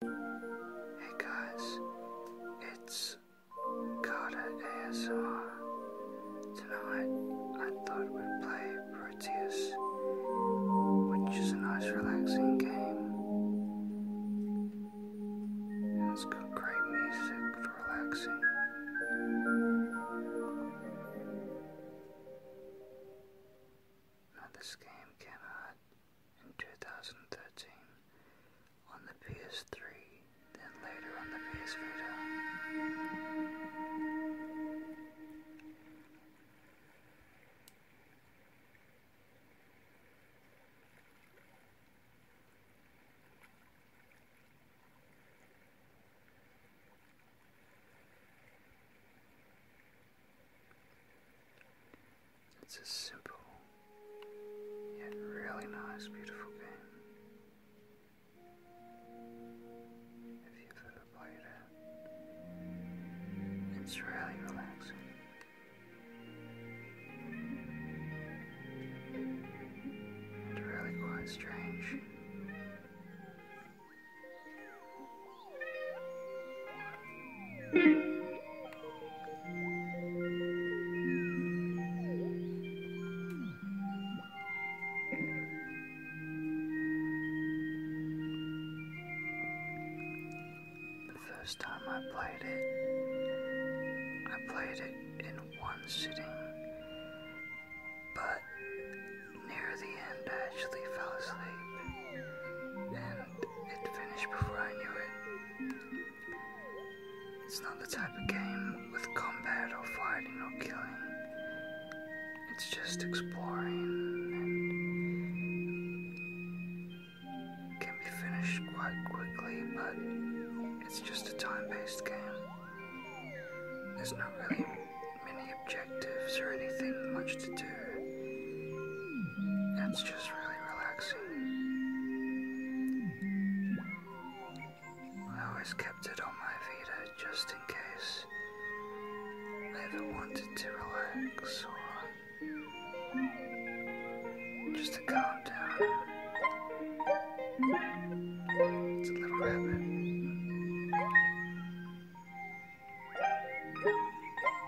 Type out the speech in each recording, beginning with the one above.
Hey guys, it's Carter ASR. Tonight I thought we'd play Proteus, which is a nice relaxing game. it's got great music for relaxing. Now this game came in 2013 on the PS3, then later on the PS Vita. It's a simple yet really nice, beautiful game. If you've ever played it, it's really relaxing. And really quite strange. The first time I played it, I played it in one sitting, but near the end I actually fell asleep, and it finished before I knew it. It's not the type of game with combat or fighting or killing. It's just exploring and can be finished quite quickly, but it's just a time based game. There's not really many objectives or anything much to do. It's just really relaxing. I always kept it on my Vita just in case I ever wanted to relax or just to calm down. It's a little rabbit.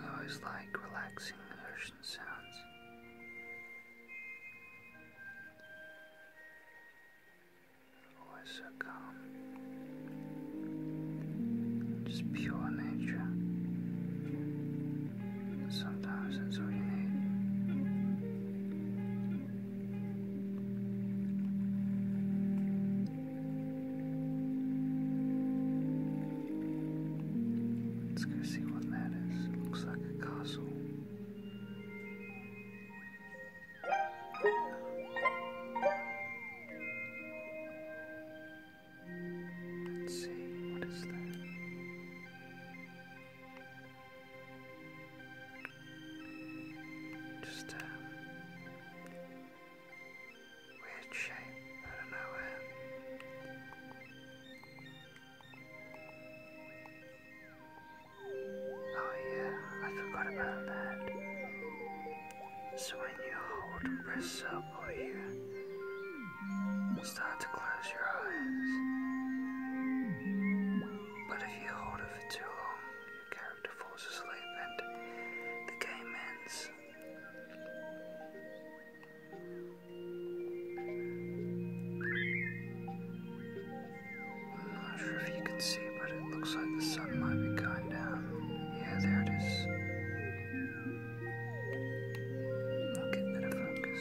I always like relaxing ocean sounds. Always so calm. Just pure nature. Sometimes that's all you need. Let's go see what that is. looks like a castle. Let's see, what is that? Just uh, weird shape out of nowhere. Oh yeah, I forgot about that. So when you hold and press up you start to close your eyes. But if you hold it for too long, your character falls asleep and the game ends. not sure if you can see, but it looks like the sun might be going down. Yeah, there it is. I'll get better focus.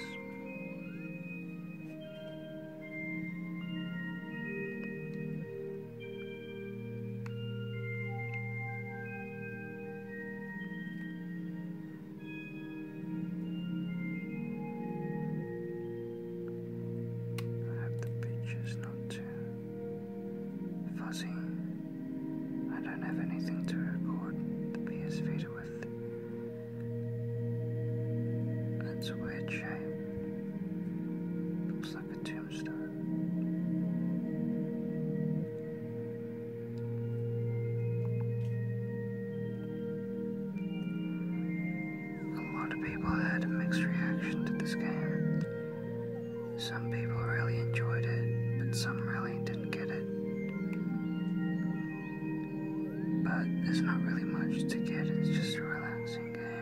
I have the pictures not too fuzzy. I don't have anything to record the PS Vita with. That's weird shape. Looks like a two a lot of people had mixed reaction to this game. Some people really enjoyed it, but some really didn't get it. But there's not really much to get, it's just a relaxing game.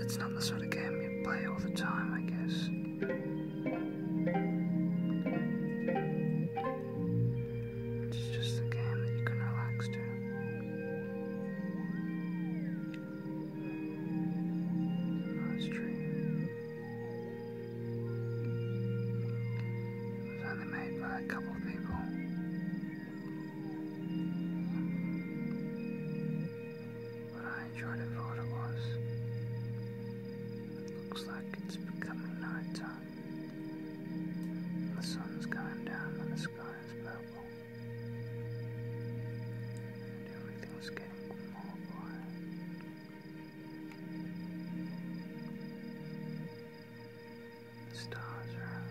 It's not the sort of game you play all the time, I guess. It's just a game that you can relax to. Nice oh, dream. It was only made by a couple of people. What I enjoyed it for what it was. It looks like it's becoming night time. The sun's going down and the sky is purple. And everything's getting more quiet. The stars are out.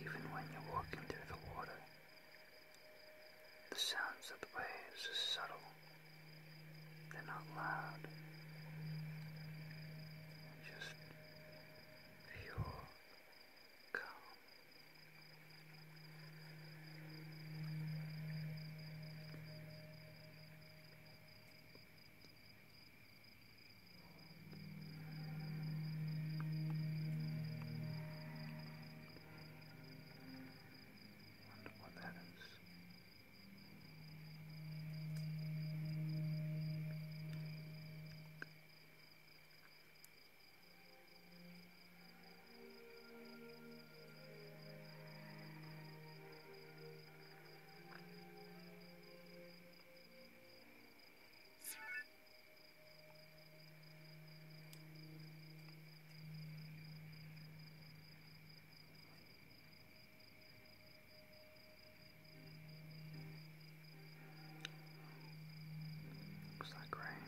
Even when you're walking through the water, the sounds of the waves are subtle, they're not loud, just pure calm. Wonder what that is. Looks like rain.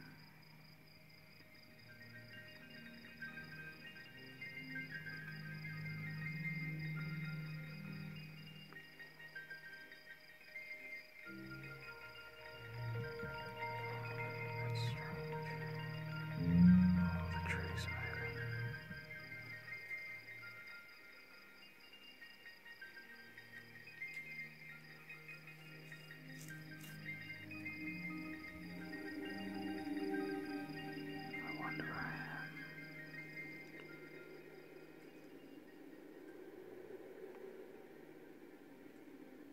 That's strange. All the trees maybe. I wonder where I am.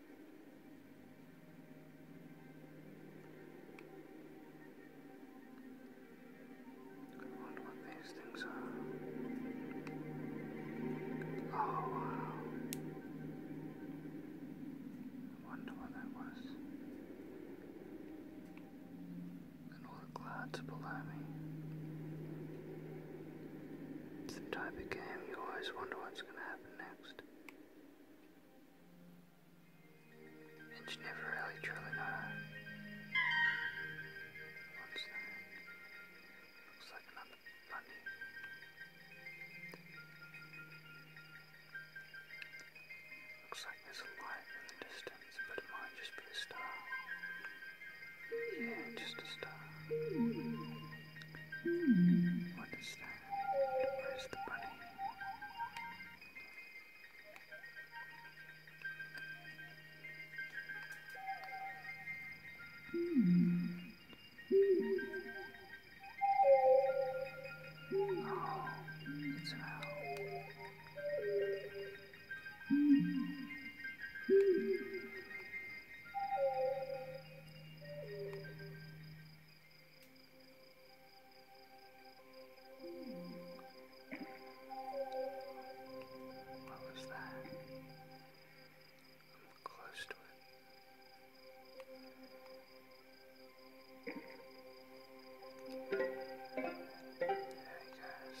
I wonder what these things are. Oh wow. I wonder what that was. And all the clouds below me. It's the type of game you always wonder what's gonna happen next. And she never really truly got What's that? Looks like another bunny. Looks like there's a light in the distance, but it might just be a star. Yeah, just a star. What is that? Where's the bunny? Mm. Oh, it's out. What was that? I'm close to it. Hey guys.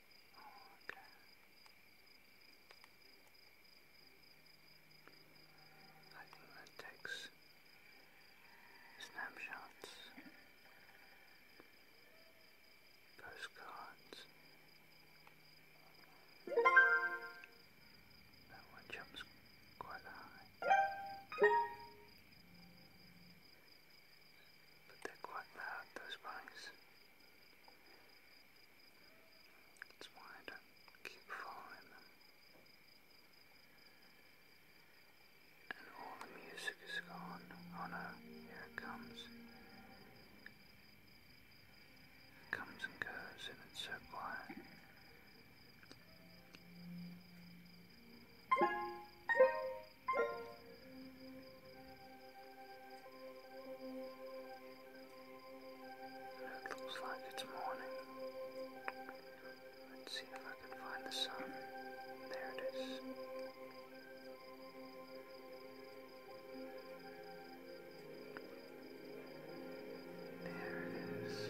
Okay. I think that takes snapshots, postcards. That one jumps quite high. But they're quite loud, those bunnies. That's why I don't keep following them. And all the music is gone. Oh no, here it comes. It comes and goes, and it's so quiet. It looks like it's morning. Let's see if I can find the sun. There it is. There it is.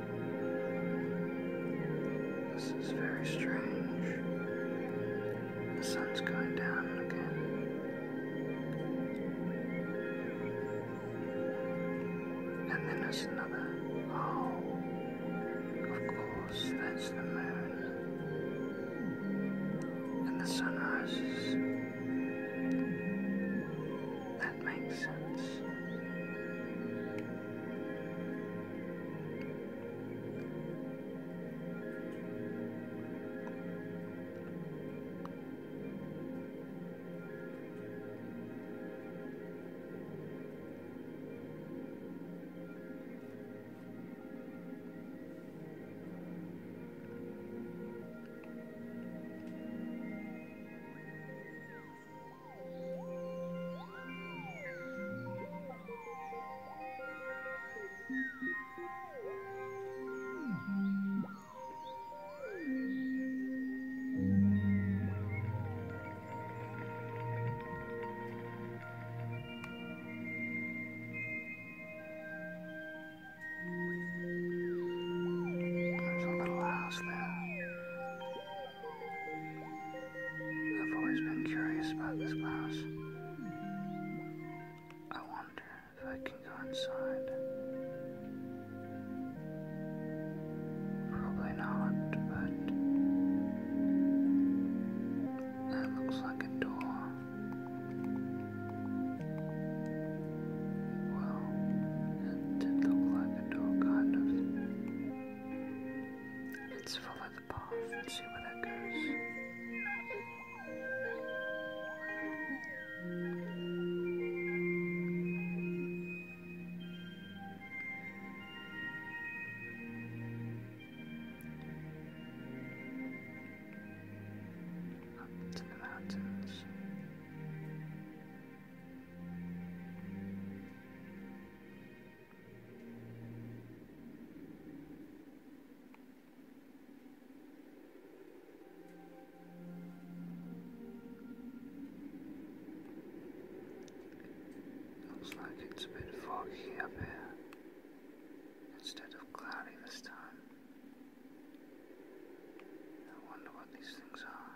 This is very strange. The sun's going down again. And then there's another. Oh, of course, that's the moon. And the sun rises that makes sense. There's a little house there. I've always been curious about this house. I wonder if I can go inside. Probably not, but that looks like a door. Well, it did like a door, kind of. Let's follow the path and see where that goes. Up to the mountains. Looks like it's a bit foggy up here instead of cloudy this time. I wonder what these things are.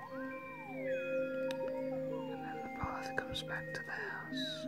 And then the path comes back to the house.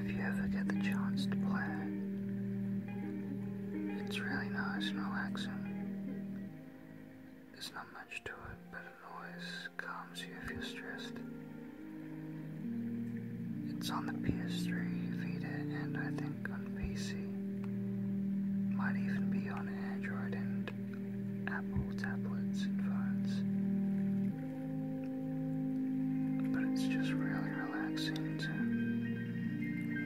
If you ever get the chance to play it's really nice and relaxing. There's not much to it, but it always calms you if you're stressed. It's on the PS3, Vita, and I think on PC. Might even be on Android and Apple tablets and phones. But it's just really relaxing to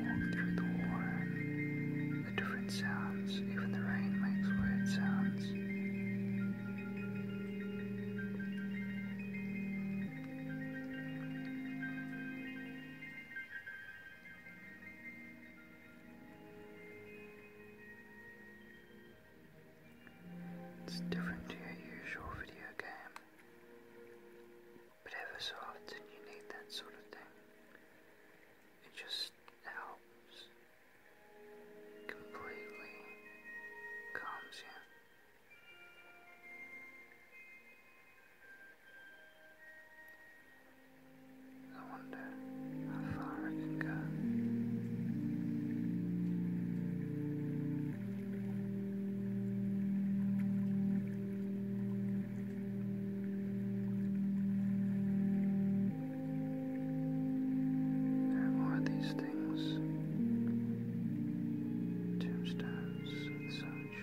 walk through the water the different sounds, even the rain makes weird sounds. It's different to your usual video game, but ever so often you need that sort of thing. It just helps. Completely calms you. I wonder how far I can go. There are these things tombstones and such.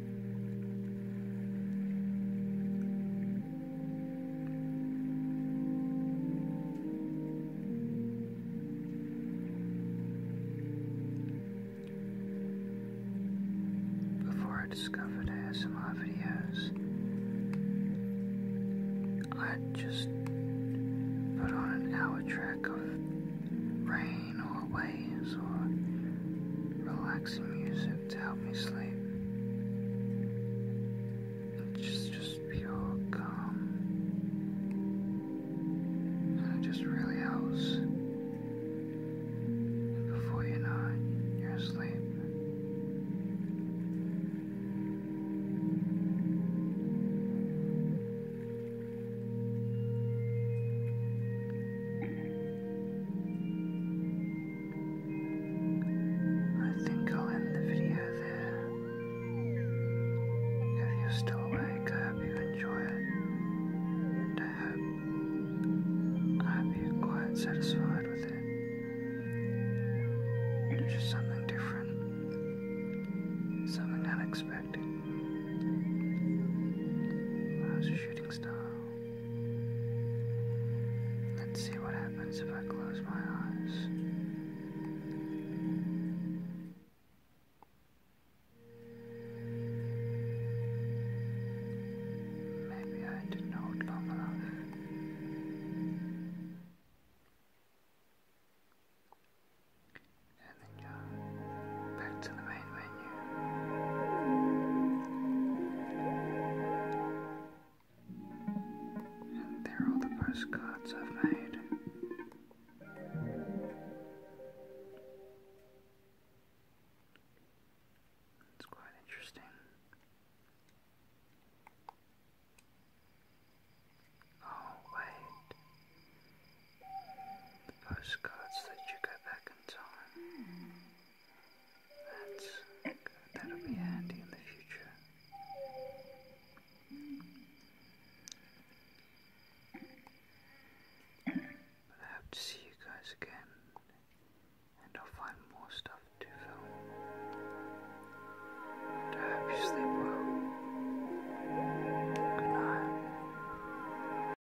Before I discovered ASMR videos, I just put on an hour track of rain or waves or relaxing music to help me sleep. It's just, just pure calm. And it just really helps. before you know you're asleep. I think I'll end the video there. If you're still awake, I hope you enjoy it. And I hope, I hope you're quite satisfied with it. It's just something different, something unexpected. I was shooting Let's see what happens if I close my eyes. Maybe I didn't hold long enough. Back to the main menu. And there are all the postcards I've made. It's quite interesting. Oh, wait the postcards that you go back in time. That's That'll be handy in the future. But I hope to see you guys again, and I'll find more stuff to film. I hope you sleep well. Good night.